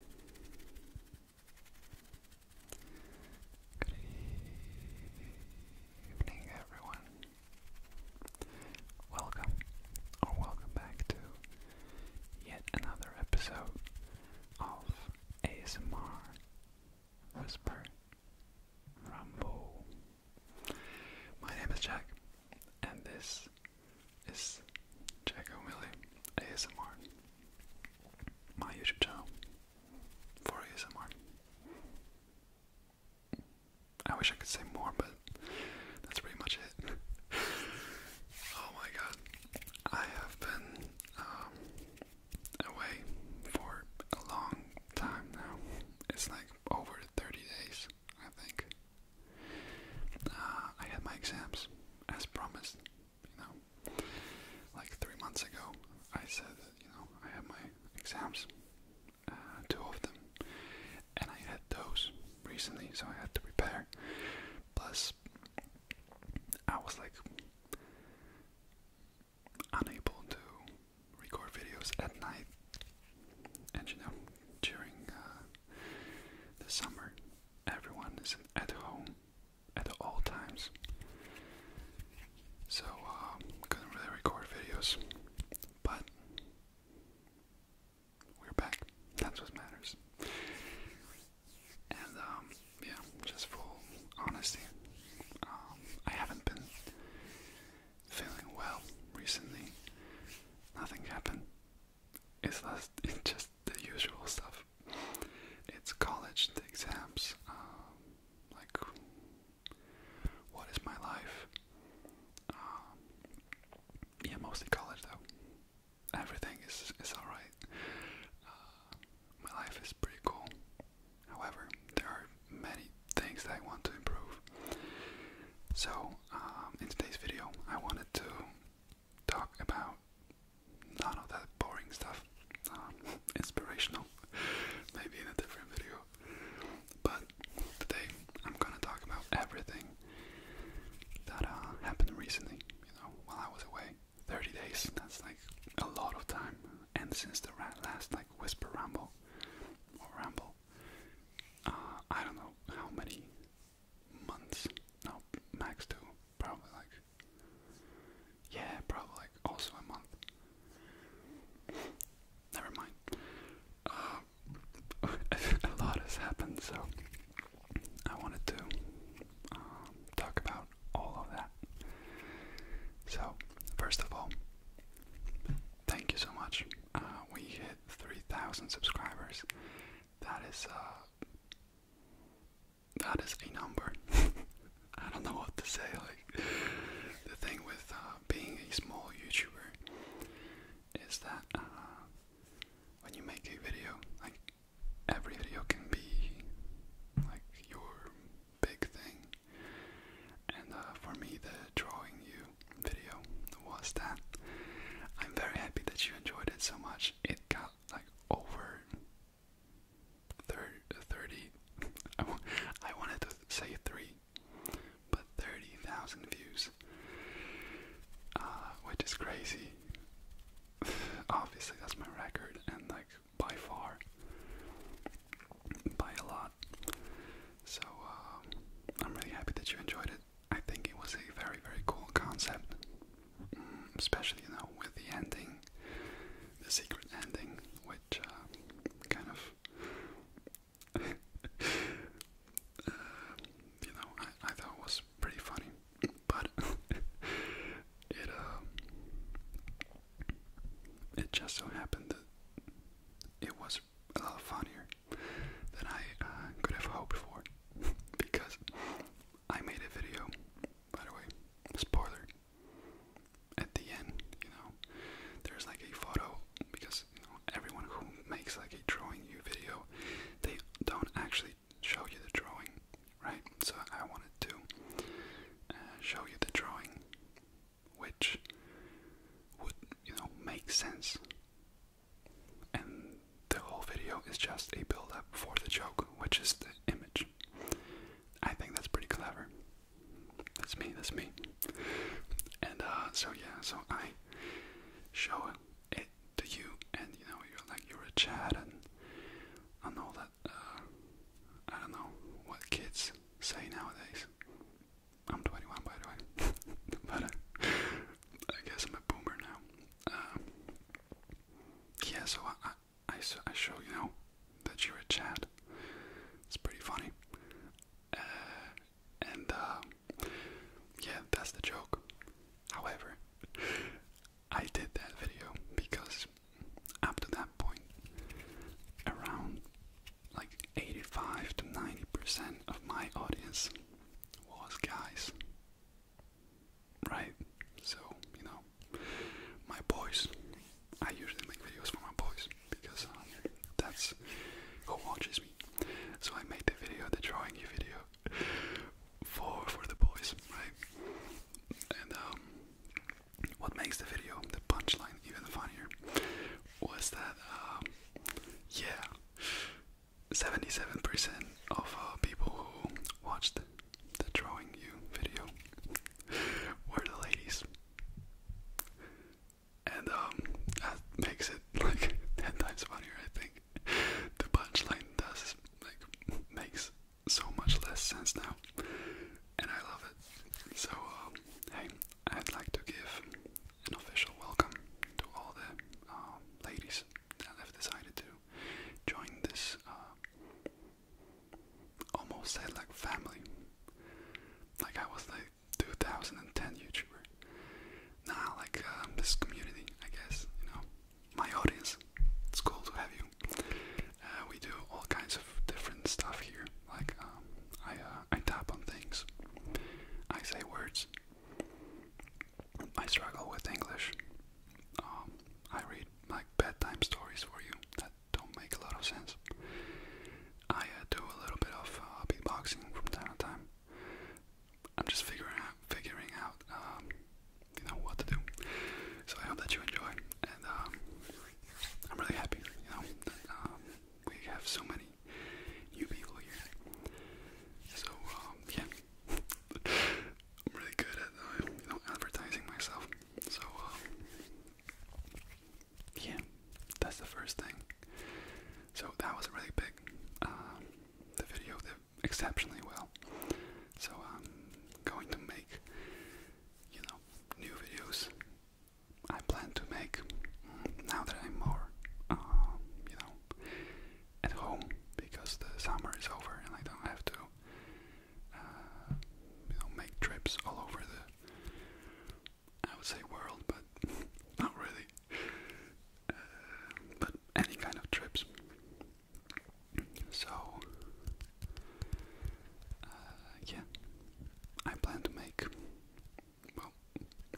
Good evening, everyone. Welcome, or welcome back to yet another episode of ASMR Whisper Rumble. My name is Jack, and this is Jack O'Malley ASMR, my YouTube channel for ASMR. I wish I could say more, but that's pretty much it. oh my god, I have been um, away for a long time now. It's like over 30 days, I think. Uh, I had my exams as promised you know, like three months ago, I said that, you know, I had my exams, uh, two of them, and I had those recently, so I had to prepare. Plus, I was like unable to record videos at night, and you know, during uh, the summer, everyone is at home at all times. So, um, couldn't really record videos, but we're back. That's what matters. And, um, yeah, just full honesty. Um, I haven't been feeling well recently. Nothing happened it's just the usual stuff. It's college, the exams, um, like what is my life? Um, yeah, mostly college though. Everything is is all right. Uh, my life is pretty cool. However, there are many things that I want to improve. So um, in today's video, I wanted to talk about none of that boring stuff. Um, inspirational, maybe in a different video. But today I'm gonna talk about everything that uh, happened recently. You know, while I was away, 30 days. That's like a lot of time. And since the last like whisper ramble or ramble, uh, I don't know how many months. No, max two probably like yeah, probably like also a month. Never mind. Uh, a lot has happened, so I wanted to um, talk about all of that. So, first of all, thank you so much. Uh, we hit 3,000 subscribers. That is uh, that is a number. I don't know what to say. Like the thing with uh, being a small YouTuber is that uh, when you make a video, like every video can be like your big thing. And uh, for me, the drawing you video was that. I'm very happy that you enjoyed it so much. It got like over thir I, wanted to say 3 but 30,000 views uh, which is crazy obviously that's my record and like by far by a lot so um, I'm really happy that you enjoyed it I think it was a very very cool concept especially you know with the ending, the secret ending, which uh, kind of, uh, you know, I, I thought was pretty funny, but it um, it just so happened that it was a lot funnier than I uh, could have hoped for because I made a video by the way, spoiler. At the end, you know, there's like a photo because everyone who makes like a drawing you video, they don't actually show you the drawing, right? So I wanted to uh, show you the drawing, which would you know make sense. And the whole video is just a build up for the joke, which is the image. I think that's pretty clever. That's me, that's me. And uh, so yeah, so I show it to you, and you know, you're like, you're a chat, and I know that, uh, I don't know what kids say nowadays. I'm 21, by the way, but uh, I guess I'm a boomer now. Uh, yeah, so I, I I, I show you know that you're a Chad. It's pretty funny. Uh, and uh, yeah, that's the joke. However, I did that video because up to that point, around like 85 to 90% of my audience was guys right? So, you know, my boys, I usually make videos for my boys because uh, that's who watches me. So I made the video, the drawing video, for for the boys, right? And um, what makes the video, the punchline, even funnier was that, um, yeah, 77% of uh, people who watched the drawing you video where the ladies. And um, that makes it like ten times funnier I think. The punchline does like makes so much less sense now. And I love it. So um, hey I'd like to give an official welcome to all the um, ladies that have decided to join this uh, almost said like family. Like I was like 2010 YouTuber. Nah, like um, this community, I guess, you know, my audience. It's cool to have you. Uh, we do all kinds of different stuff here. Like um, I, uh, I tap on things. I say words. I struggle with English. Um, I read like bedtime stories for you that don't make a lot of sense. I uh, do a little bit of uh, beatboxing from time to time. I'm just figuring out, figuring out, um, you know, what to do. So I hope that you enjoy, and um, I'm really happy, you know, that we have so many new people here. So yeah, I'm really good at uh, you know advertising myself. So uh, yeah, that's the first thing. So that was really big. Uh, the video did exceptionally well. So I'm going to make you know new videos. I plan to make mm, now that I'm more you know at home because the summer is over and I don't have to uh, you know, make trips all over the, I would say world, but not really, uh, but any kind of trips. So, uh, yeah, I plan to make, well,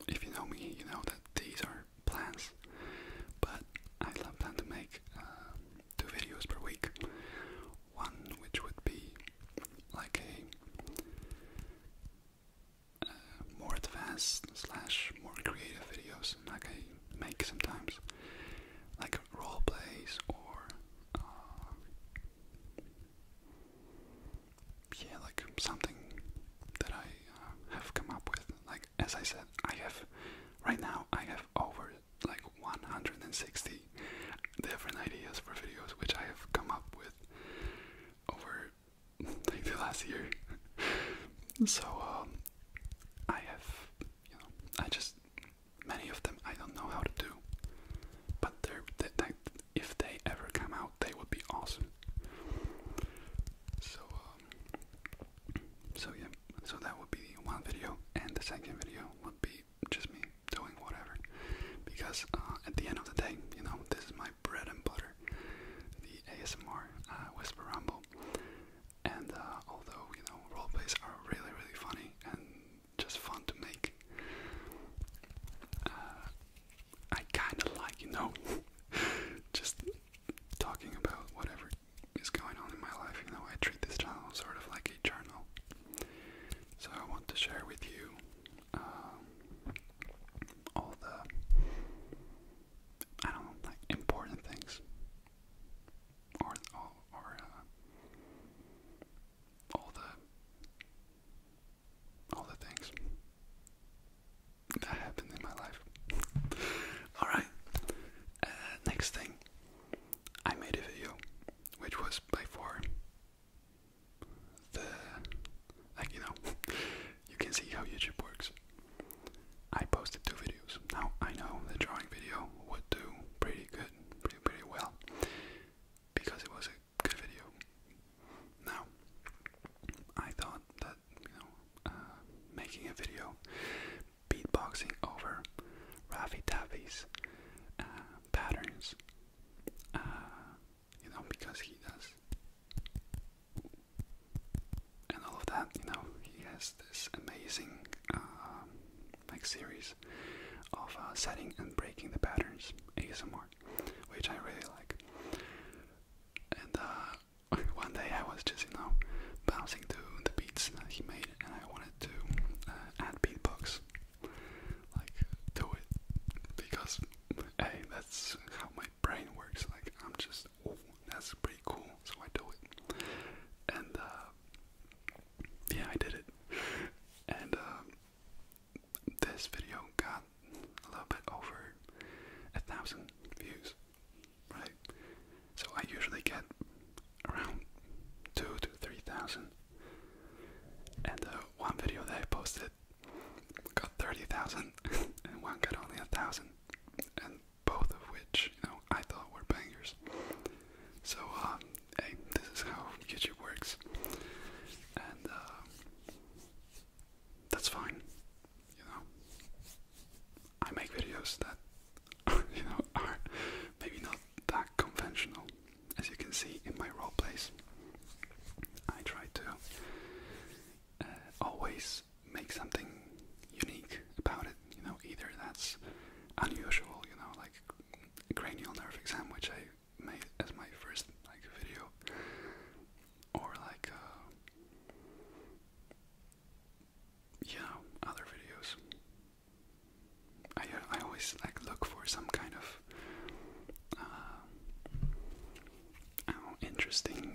if you know me, you know that these are plans, but I plan to make um, two videos per week. One which would be like a uh, more advanced slash more creative videos, like I make sometimes, like role plays or uh, yeah, like something that I uh, have come up with. Like as I said, I have right now I have over like 160 different ideas for videos which I have come up with over the last year. so um, I have, you know, I just many of them I don't know how to do, but they're that they, if they ever come out, they would be awesome. So um, so yeah, so that would be one video, and the second video would be just me doing whatever, because uh, at the end of the day, you know, this is my bread and butter, the ASMR uh, whisper ramble. and uh, although you know role plays are really really funny and just fun to make, I kind of like you know just talking about whatever is going on in my life, even though I treat this channel sort of like a journal. So I want to share with you um, all the, I don't know, like important things, or all, or uh, all the, all the things that happened in my life. Alright, uh, next thing, I made a video which was by far the like you know you can see how YouTube works. I posted two videos. Now I know the drawing video would do pretty good, pretty pretty well, because it was a good video. Now I thought that you know uh, making a video beatboxing over Rafi Taffy's uh, patterns, uh, you know, because he does, and all of that, you know, he has this amazing uh, series of uh, setting and breaking the patterns ASMR, which I really like. And one day I was just, you know, bouncing to the beats that he made and I wanted to uh, add beatbox. Like, do it. Because, hey, that's how my brain works. Like, I'm just, oh, that's pretty cool, so I do it. And, uh, yeah, I did it. And, uh, this video got a little bit over a thousand views, right? So I usually get around two to three thousand. And uh, one video that I posted got thirty thousand, and one got only a thousand, and both of which you know I thought were bangers. So um, hey, this is how YouTube works, and uh, that's fine. You know, I make videos that you know are maybe not that conventional. As you can see in my role plays, I try to uh, always make something unique about it. You know, either that's unusual, you know, like cranial nerve exam, which I made as my first like video, or like uh, other videos. I I always like look for some kind of uh, oh, interesting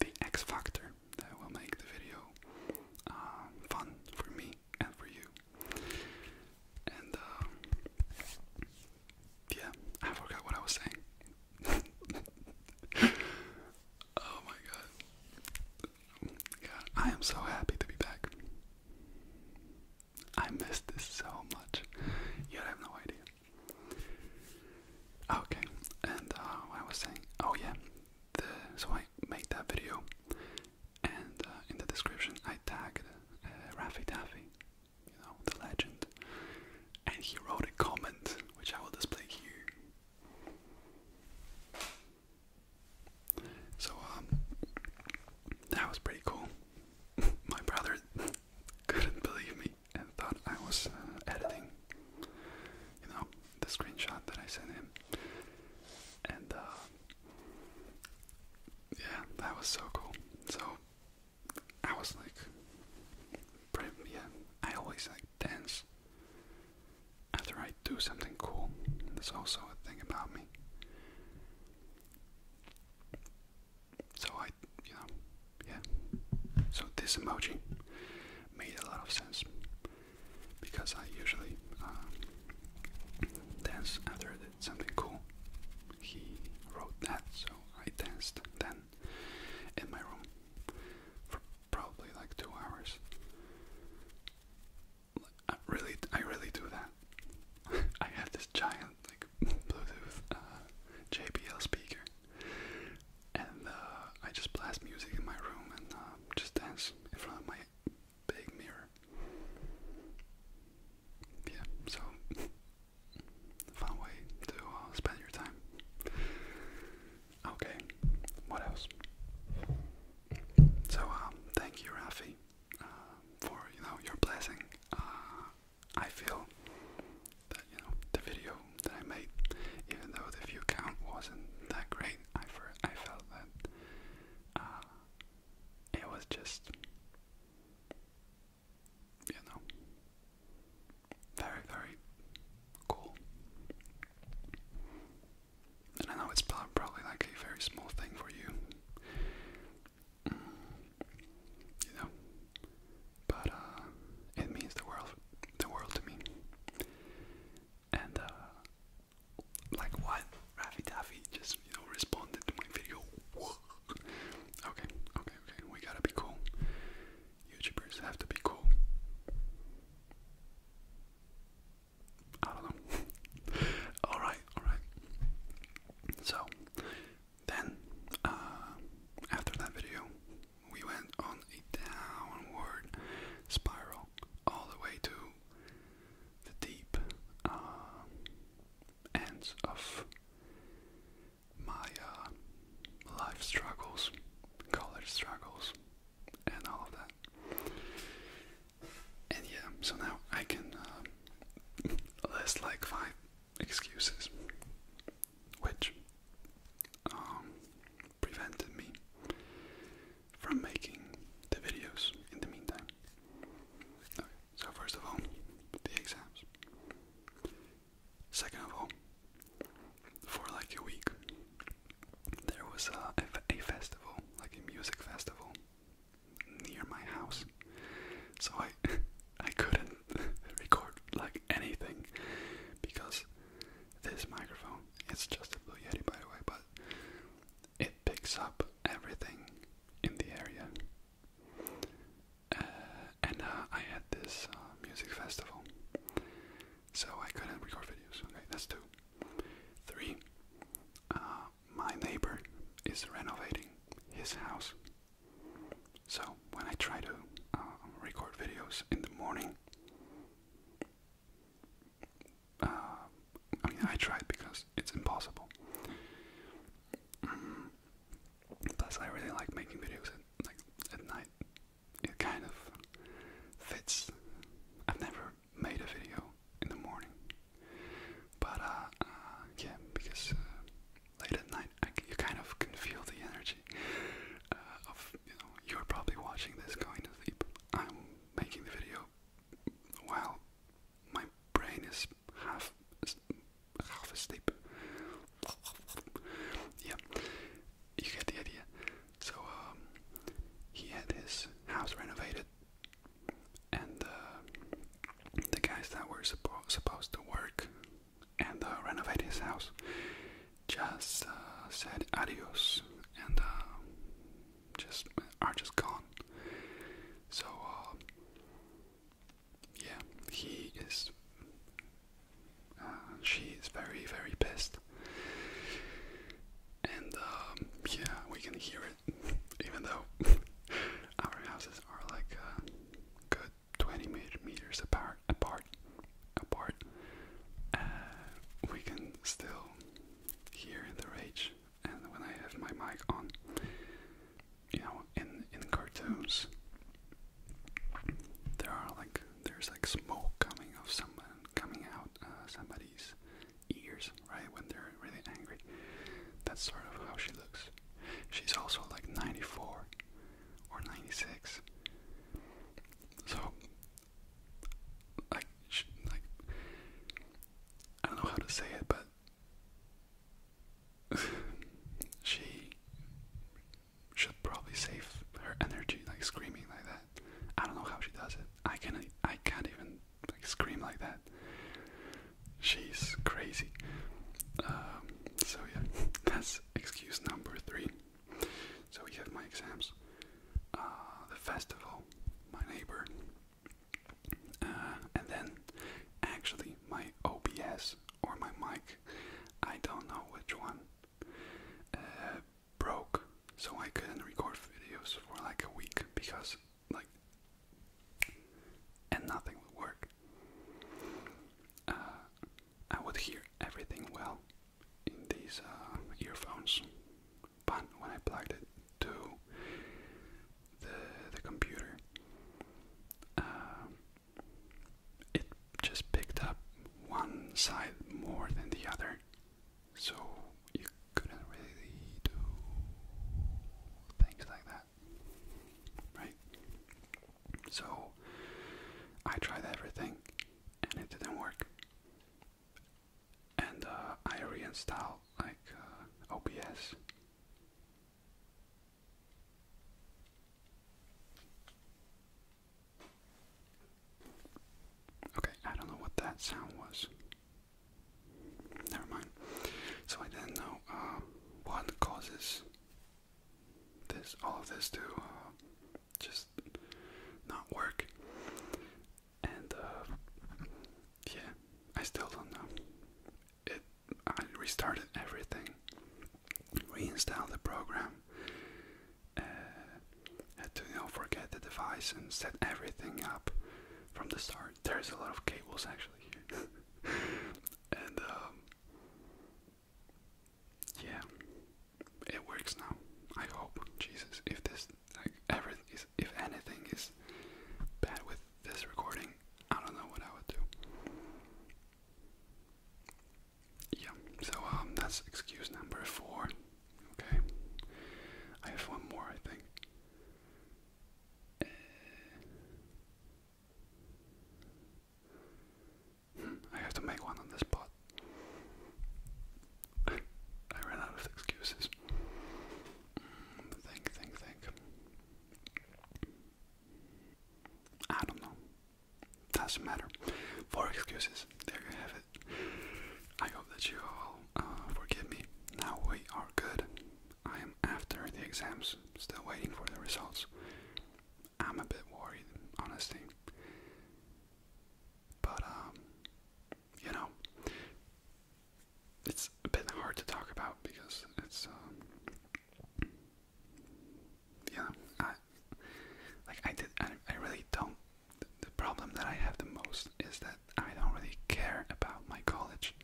the X factor that will make the video uh, fun for me and for you. And uh, yeah, I forgot what I was saying. oh my god. God, I am so happy to be back. I missed this so much. You have no idea. Okay, and uh, I was saying, oh yeah, so I made that video, and uh, in the description I tagged uh, Rafi Taffy, you know, the legend, and he wrote a comment which I will display here. So um, that was pretty cool. My brother couldn't believe me and thought I was uh, editing, you know, the screenshot that I sent him. And uh, yeah, that was so cool. So I was like, yeah, I always like dance after I do something cool. That's also a thing about me. So I, you know, yeah. So this emoji made a lot of sense because I usually uh, dance after something cool. He wrote that, so I danced then in my room for probably like two hours. I really, I really do that. I have this giant like Bluetooth uh, JBL speaker, and uh, I just blast music in my room and uh, just dance in front of my big mirror. Yeah, so fun way to spend your time. Okay, what else? So, um, thank you, Rafi, uh, for you know your blessing. Uh, I feel that you know the video that I made, even though the view count wasn't that great, I felt that uh, it was just you know very very cool. And I know it's probably like a very small thing for you, mm, you know, but uh, it means the world, the world to me. And uh, like what Raffy Taffy just you know responded to my video. okay, okay, okay. We gotta be cool. YouTubers have to be cool. I don't know. alright, alright. So, then, uh, after that video, we went on a downward spiral all the way to the deep uh, ends of my uh, life struggles, college struggles, and all of that. And yeah, so now I can um, list like five excuses which um, prevented me from making the videos in the meantime. so first of all, the exams. Second of all, for like a week, there was a festival, like a music festival near my house, so I I couldn't record like anything because this microphone it's just a Blue Yeti by the way, but it picks up everything in the area. Uh, and uh, I had this uh, music festival, so I couldn't record videos. Okay, that's two. Three, my neighbor is renovating his house. So when I try to um, record videos in the morning, uh, I mean I tried because it's impossible. Plus, I really like making videos at, like at night. It kind of fits. I've never made a video in the morning. But uh, uh, yeah, because uh, late at night I, you kind of can feel the energy of you know you're probably watching this going to sleep. I'm making the video while my brain is half half asleep. yeah, you get the idea. So um, he had his house renovated and uh, the guys that were supposed to work and uh, renovate his house just uh, said adios and just are just gone. So yeah, he is. Uh, she is very very pissed, and um, yeah, we can hear it. even though our houses are like uh, good 20 meters apart, apart, apart, uh, we can still hear the rage. And when I have my mic on, you know, in in cartoons, there are like there's like smoke coming of someone coming out uh, somebody's ears, right? When they're really angry. That's sort of how she looks. She's also like 94 or 96. So, like, like, I don't know how to say it, but she should probably save her energy, like screaming like that. I don't know how she does it. I can I can't even like scream like that. She's crazy. Um, so yeah, that's excuse number three. So we have my exams, uh, the festival, my neighbor, uh, and then actually my OBS or my mic. I don't know which one. Uh, broke, so I couldn't record videos for like a week because like and nothing would work. Uh, I would hear everything well in these uh, earphones, but when I plugged it to the the computer, uh, it just picked up one side more than the other, so you couldn't really do things like that. Right? So I tried everything and it didn't work. And uh, I reinstalled like uh, OBS. Okay, I don't know what that sound was. Never mind. So I didn't know um, what causes this, all of this to uh, just not work. And uh, yeah, I still don't know. It. I restarted everything, reinstalled the program, uh, had to you forget the device and set everything up from the start there's a lot of cables actually here, and um, yeah, it works now. I hope Jesus, if this like ever is, if anything is bad with this recording, I don't know what I would do. Yeah, so um, that's excuse number four. Okay, I have one more, I think. Uh, I have to make one on the spot. I ran out of excuses. Think, think, think. I don't know. Doesn't matter. Four excuses. There you have it. I hope that you all uh, forgive me. Now we are good. I am after the exams, still waiting for the results. I'm a bit worried, honestly. But, um, you know, it's a bit hard to talk about because it's, um, uh, yeah, I, like, I did, I, really don't. the problem that I have the most is that I don't really care about my college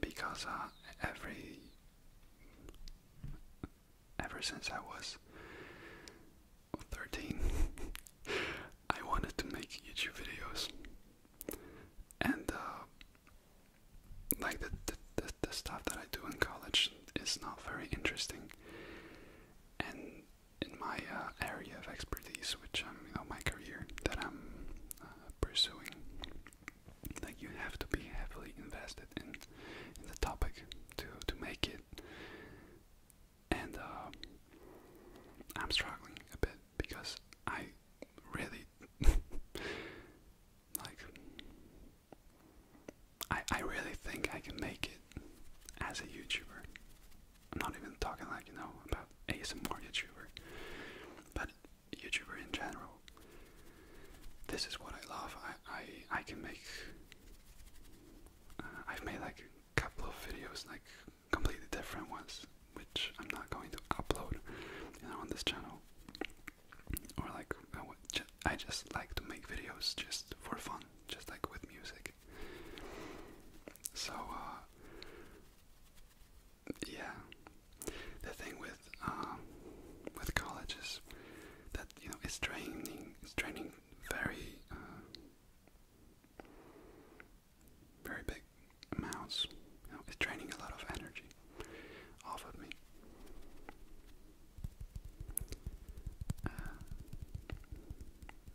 because uh, every ever since I was 13 I wanted to make YouTube videos and uh, like the, the, the, stuff that I do in college is not very interesting and in my uh, area of expertise which I'm you know, my career that I'm pursuing like you have to be heavily invested in the topic to to make it and uh, I'm struggling a bit because I really like I I really think I can make it as a YouTuber. I'm not even talking like you know about ASMR YouTuber, but YouTuber in general. This is what I love. I I, I can make. Uh, I've made like a couple of videos, like completely different ones, which I'm not going to upload, you know, on this channel. Or like I, would I just like to make videos just for fun, just like with music. So uh, yeah, the thing with um, with college is that you know it's draining. It's draining very uh, very big amounts. it's draining a lot of energy off of me. Uh,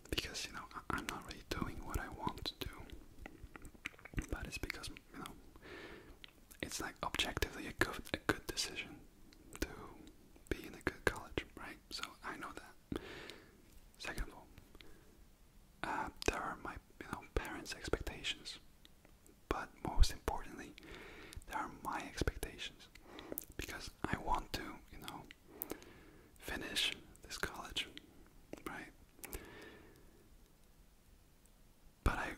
because you know I'm not really doing what I want to do, but it's because you know, it's like objectively a good, a good decision to be in a good college, right? So I know that. Second of all, uh, there are my you know parents' expectations, but most importantly, there are my expectations because I want to you know finish this college, right? but I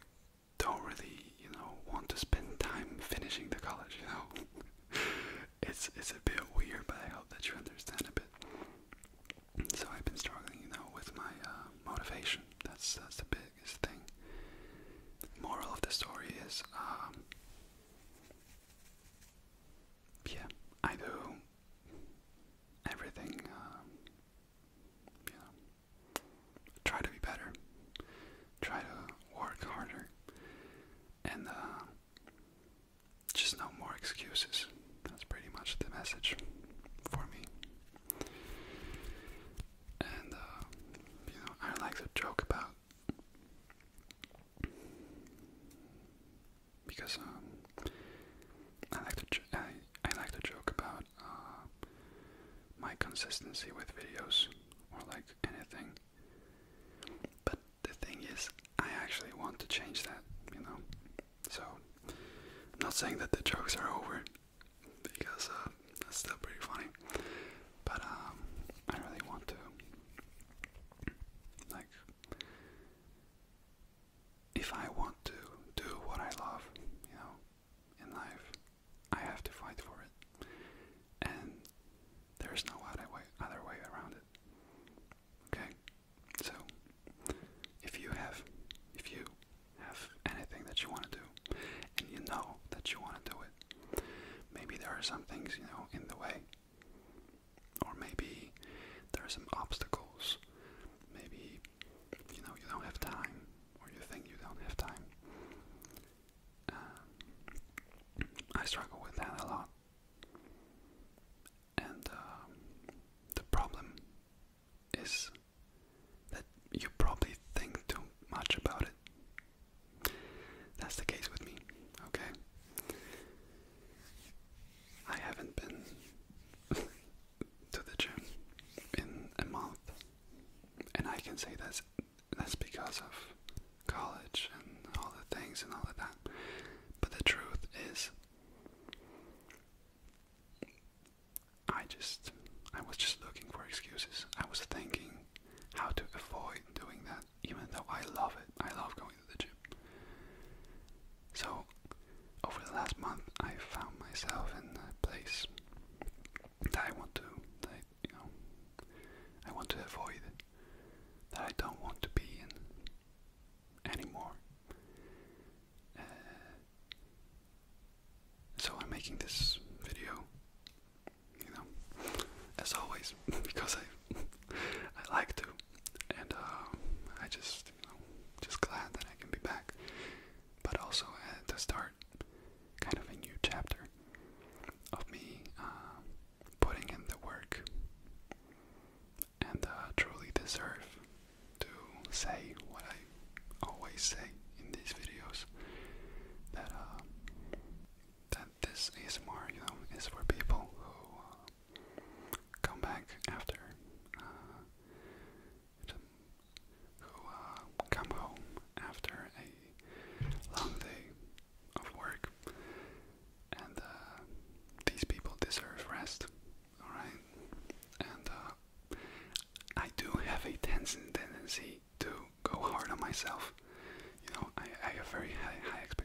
don't really, you know, want to spend time finishing the college, you know. it's it's a bit weird, but I hope that you understand a bit. So I've been struggling, you know, with my uh, motivation. That's that's the biggest thing. Moral of the story is, um, yeah, I do everything um, you know, try to be better, try to work harder, and uh, just no more excuses. That's pretty much the message for me. And uh, you know, I like to joke about because um, I like to I, like to joke about uh, my consistency with videos or like anything. But the thing is, I actually want to change that, you know. So I'm not saying that the jokes are over because uh, that's still pretty funny. But um, I really want to like. If I want to do what I love, you know, in life. I have to fight for it. And there's no other way, other way around it. Okay? So, if you have, if you have anything that you want to do, and you know that you want to do it, maybe there are some things, you know, in the way. Or maybe there are some obstacles. Maybe you know you don't have time or you think you don't have time. Um, I struggle with that a lot. And uh, the problem is that you probably think too much about it. That's the case with me, okay? I haven't been to the gym in a month, and I can say that's that's because of college and all the things and all of that. But the truth is, I just I was just looking for excuses. I was thinking how to avoid doing that, even though I love it. I love going to the gym. So so, over the last month, I found myself in a place that I want to, you know, I want to avoid, that I don't want to be in anymore. Uh, so I'm making this video, you know, as always, because I, I like to, and um, I just, just glad that I can be back but also to start, kind of a new chapter of me um, putting in the work and truly deserve to say what I always say in these videos that uh, that this is more you know is for people who uh, come back after uh, who uh, come home after a long day of work, and uh, these people deserve rest. All right, and uh, I do have a tendency to go hard on myself. You know, I, I have very high, high expectations.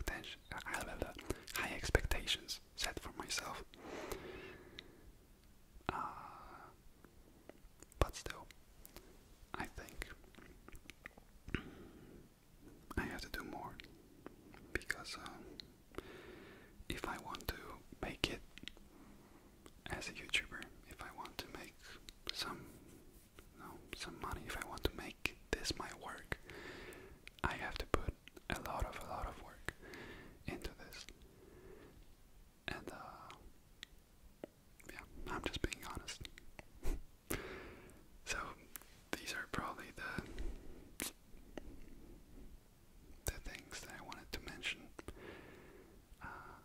high expectations set for myself. Uh, but still, I think I have to do more because um, if I want to make it as a YouTuber, if I want to make some, some money, if I want to make this my work, I have to put a lot of a lot of work into this. And, uh, yeah, I'm just being honest. so, these are probably the, the things that I wanted to mention. Uh,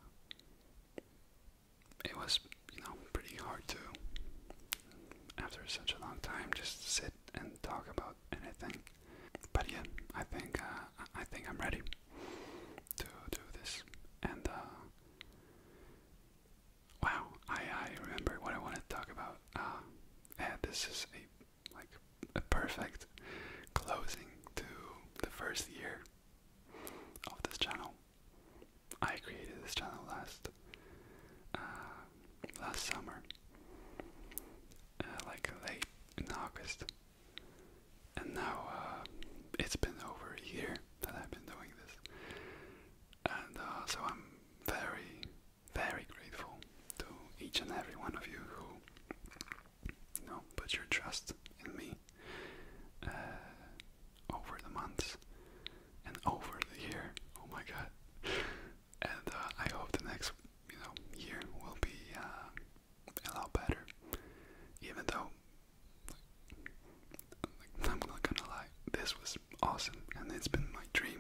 it was, you know, pretty hard to, after such a long time, just sit and talk about anything. But yeah, I think uh, I think I'm ready to do this. And uh, wow, I I remember what I wanted to talk about. Uh, this is a like a perfect closing to the first year of this channel. I created this channel last uh, last summer, like late in August. And now uh, it's been over a year that I've been doing this, and uh, so I'm very, very grateful to each and every one of you who, you know, put your trust in me uh, over the months and over the year. Oh my God! And uh, I hope the next, you know, year will be a lot better. Even though, like, I'm not gonna lie, this was awesome and it's been my dream.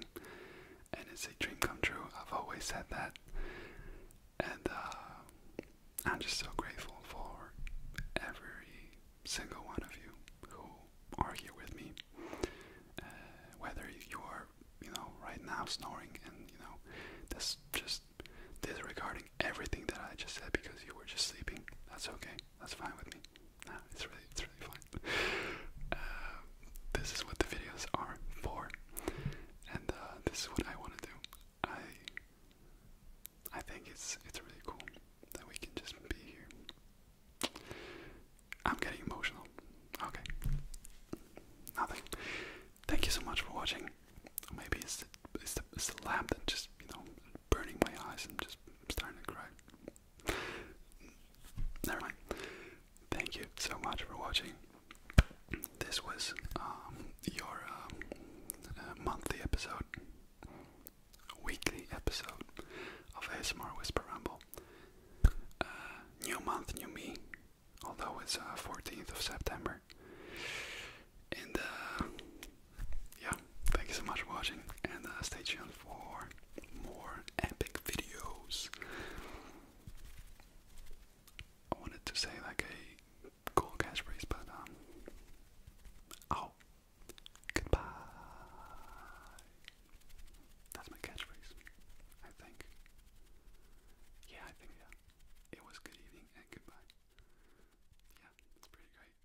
And it's a dream come true. I've always said that. And uh, I'm just so grateful for every single one of you who are here with me. Uh, whether you are, you know, right now snoring and, you know, that's just disregarding everything that I just said because you were just sleeping. That's okay. That's fine with me. Nah, it's really, it's really fine. Um, this is what the videos are for, and uh, this is what I want to do. I, I think it's it's really cool that we can just be here. I'm getting emotional. Okay, nothing. Thank you so much for watching. Maybe it's it's the, lamp that just, you know, burning my eyes and just starting to cry. Never mind. Thank you so much for watching. This was um, your um, uh, monthly episode, weekly episode of ASMR Whisper Ramble. Uh, new month, new me although it's uh, 14th of September. And uh, yeah, thank you so much for watching, and uh, stay tuned for more epic videos. I wanted to say like a cool catchphrase, but um, oh, goodbye. That's my catchphrase, I think. Yeah, I think yeah. It was good evening and goodbye yeah, it's pretty great.